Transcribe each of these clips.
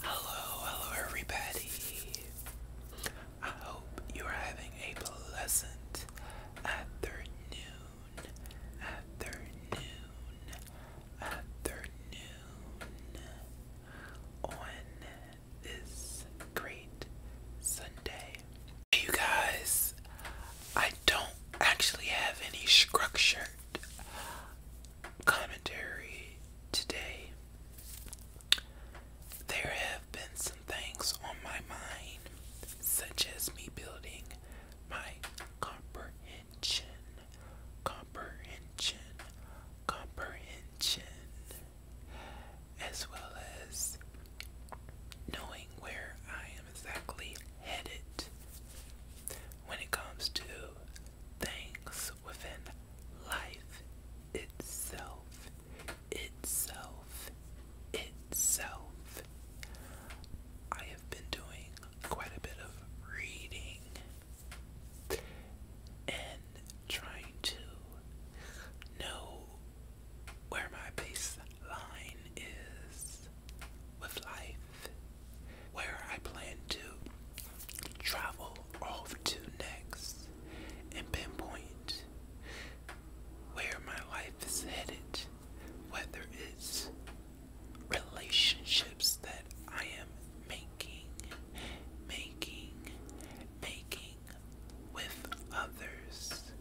Hello, hello everybody. I hope you are having a pleasant afternoon. Afternoon. Afternoon. On this great Sunday. you guys, I don't actually have any structured commentary today, there have been some things on my mind, such as me building my comprehension, comprehension, comprehension, as well as knowing where I am exactly headed when it comes to things within life itself, itself, itself. I have been doing quite a bit of reading and trying to know where my baseline is with life where I plan to travel off to next and pinpoint where my life is headed, whether it's relationships that I am making, making, making with others,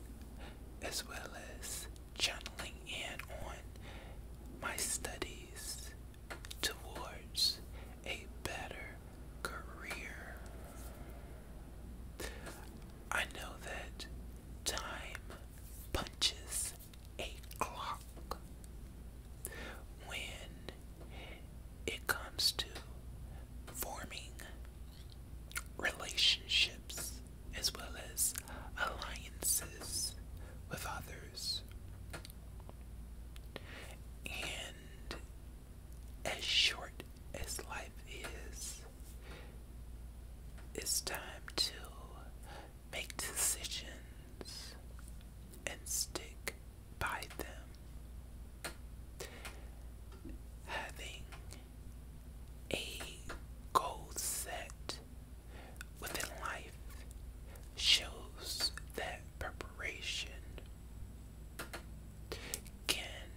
as well as channeling in on my studies towards a better career. I know that time punches a clock when it comes to forming relationships as well as alliances with others and as short as life is, it's time to make decisions and stick by them. Having a goal set within life shows that preparation can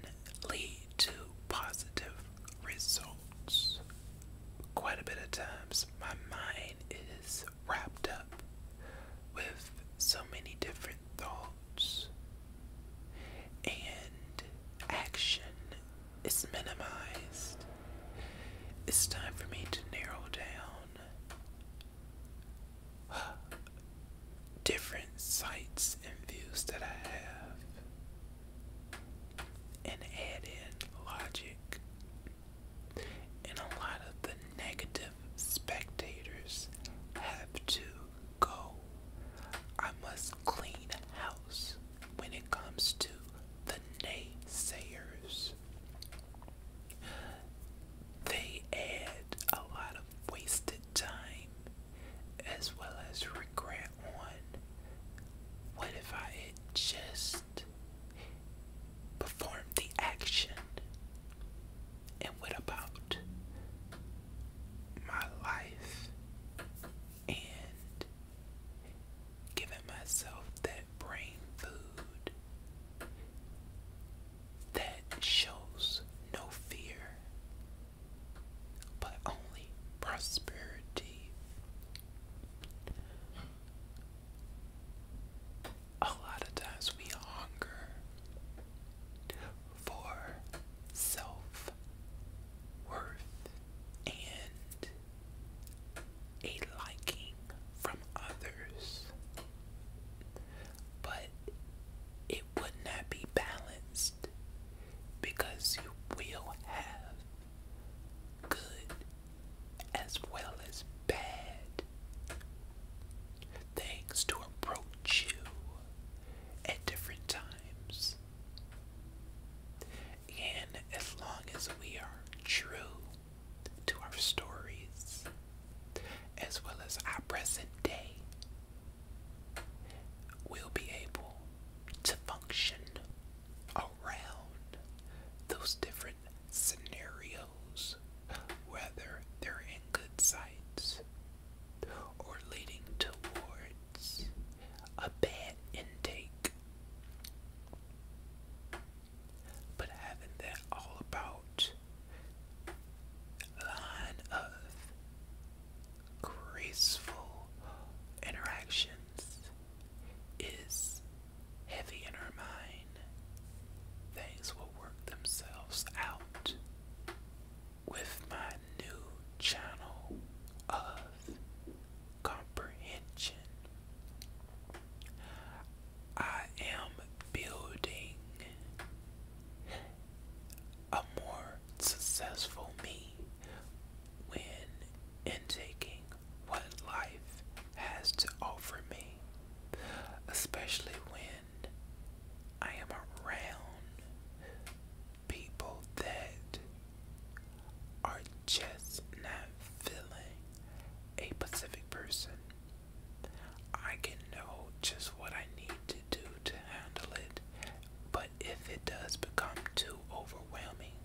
lead to positive results. Quite a bit of times, my mind is wrapped up with so many different thoughts. And action it's minimized. It's time for me to narrow down different sights and views that I have and add in logic. And a lot of the negative spectators have to go. I must clean house when it comes to the naysayers. They add a lot of wasted time as well as regret on what if I had just performed the action? And what about my life and giving myself that brain food that shows no fear but only prosperity. A lot of times we hunger for self worth and a liking from others, but it would not be balanced because you will have good as well as bad things to approach you at different times. And as long as we are true to our stories, as well as our present day, we'll be able to function around those different scenarios, whether they're in good sights or leading towards a bad intake. But having that all about line of graceful interactions is heavy in her mind. Things will work themselves out with my new channel of comprehension. I am building a more successful me when intaking what life has to offer me, especially when I am around people that are just not feeling a specific person. I can know just what I need to do to handle it, but if it does become too overwhelming,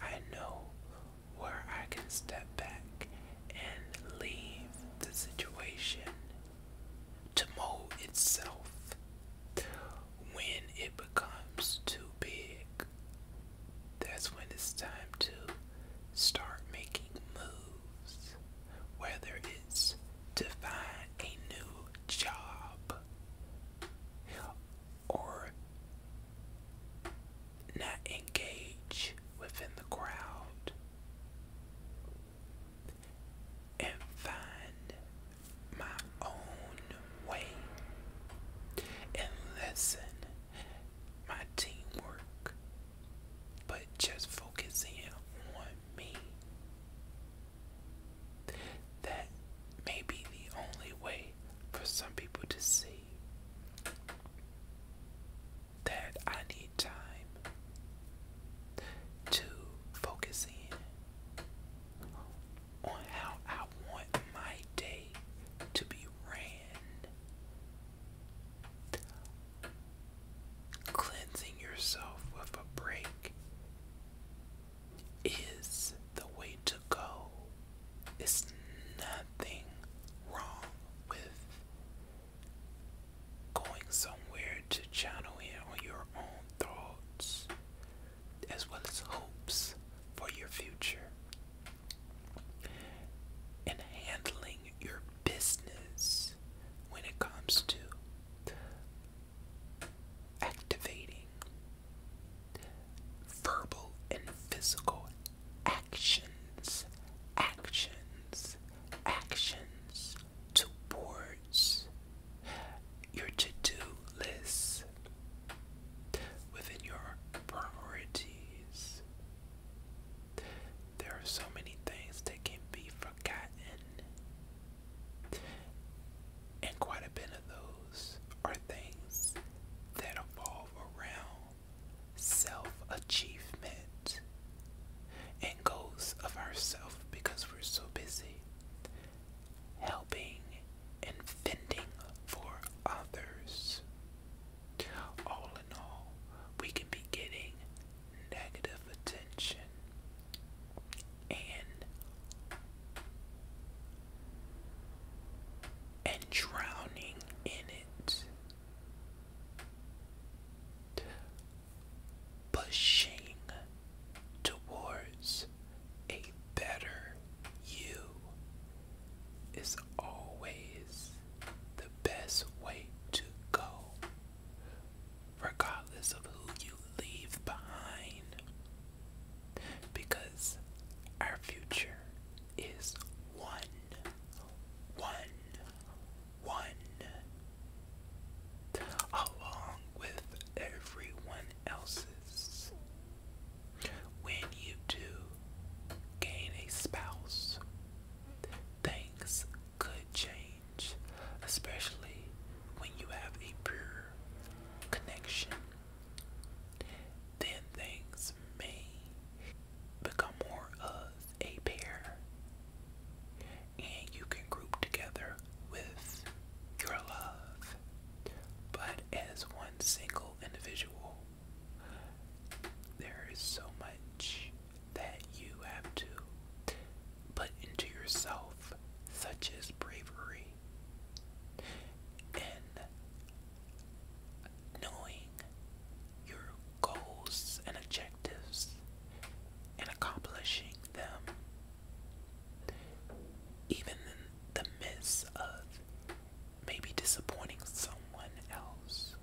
I know where I can step back and leave the situation to mold itself when it becomes too big, that's when it's time to start making moves. Whether it's to find a new job or not engage within the crowd and find my own way and lessen my teamwork, but just focus in on me. That may be the only way for some people to see that I need time to focus in on how I want my day to be ran. Cleansing yourself with a break is the way to go. It's nothing wrong with going somewhere to channel in on your own thoughts as well as hopes for your future. and handling your business when it comes to activating verbal and physical actions, actions, actions, towards your to-do list within your priorities. There are so many things that can be forgotten, and quite a bit of those are things that evolve around self-achievement and goals of ourself because we're so busy helping and fending for others. All in all, we can be getting negative attention and and drowning in it pushing towards a better you is always the best way to go, regardless of who you leave behind, because our future is one, one, one. Along with everyone else's. When you do gain a spouse, things could change, especially when you have a pure connection. Then things may become more of a pair and you can group together with your love, but as one single individual, there is so much that you have to put into yourself, such as bravery and knowing your goals and objectives and accomplishing them, even in the midst of maybe disappointing someone else.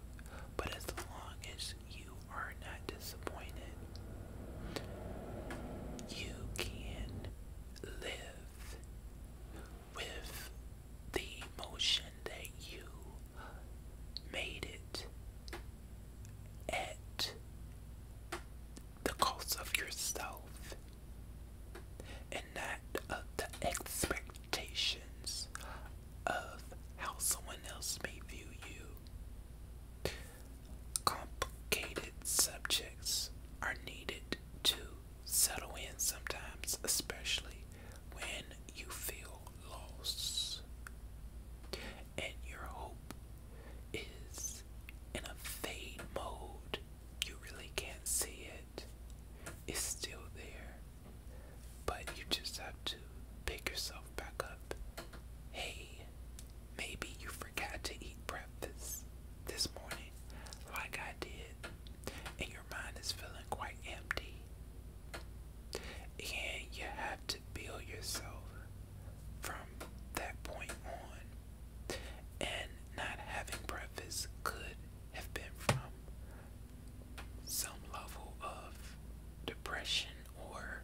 But as long as you are not disappointed, you can live with the emotion that you made it at the cost of yourself and not of uh, the expectations of how someone else may view you. Complicated subjects are needed to settle in sometimes, especially when you feel loss. And your hope is in a fade mode. You really can't see it. It's still there. But you just have to pick yourself back up. Hey, maybe you forgot to eat breakfast this morning, like I did, and your mind is feeling quite empty. And you have to to build yourself from that point on. And not having breakfast could have been from some level of depression or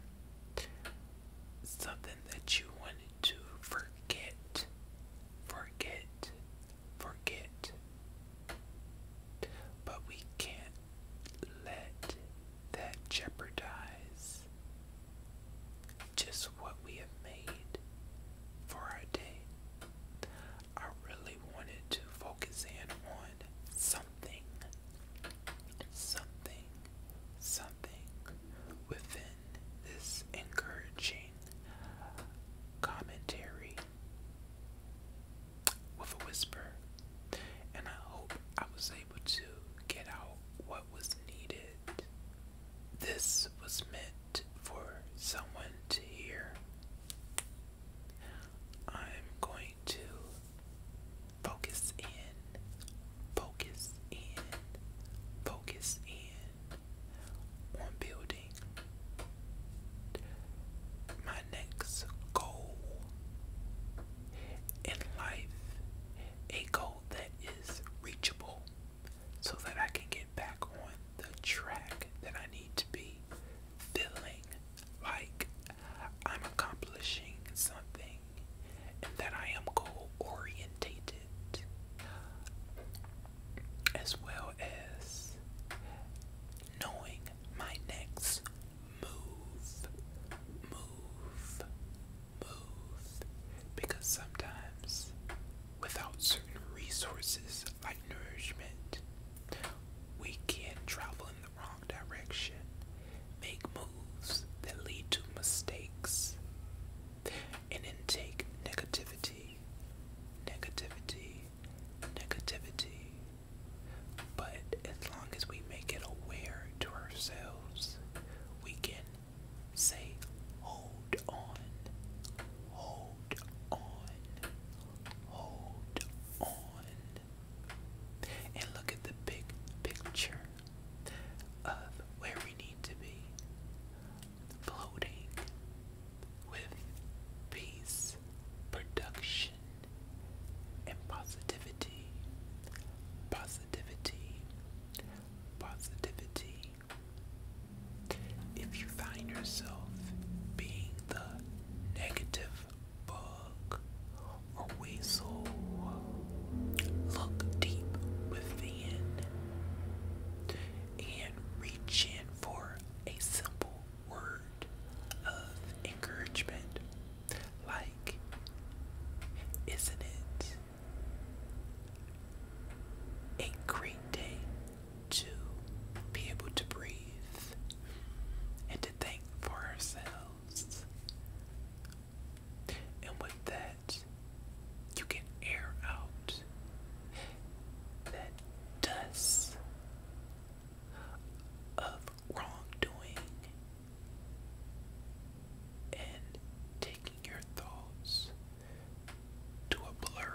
something that you wanted to forget, forget, forget. But we can't let that jeopardize just what we have made for our day. I really wanted to focus in on something, something, something within this encouraging commentary with a whisper, and I hope I was able to get out what was needed. This was meant for someone to hear. I'm going to focus in, focus in, focus in on building my next goal in life, a goal that is reachable so that I can get back on the track that I need to be feeling like I'm accomplishing something and that I am goal orientated as well as knowing my next move, move, move. Because sometimes, without certain resources like nourishment, we can travel in the wrong direction, make moves that lead to mistakes, and then take negativity, negativity, negativity, but as long as we make it aware to ourselves, we can say, hold on, hold on, hold on. And look at the big picture of where we need to be floating with peace, production, and positivity. Positivity. Positivity. If you find yourself being the negative bug or weasel, look deep within and reach in for a simple word of encouragement. Like, isn't it a great day to be able to breathe and to think for ourselves? And with that, you can air out that does of wrongdoing and taking your thoughts to a blur.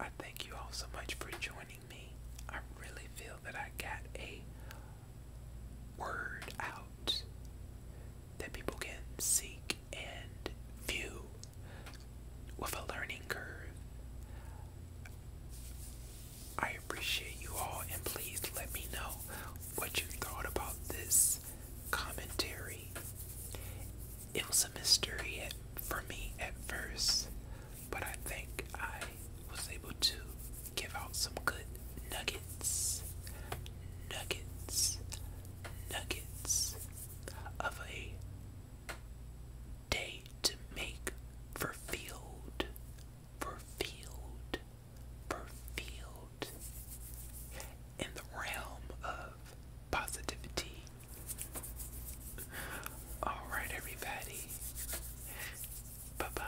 I thank you all so much for joining me. I really feel that I got a word out that people can seek and few with a learning curve. I appreciate you all, and please let me know what you thought about this commentary. It was a mystery at, for me at first, but I think I was able to give out some good nuggets. Nuggets. Nuggets of a day to make for field, for field, for field. In the realm of positivity. Alright, everybody. Bye bye.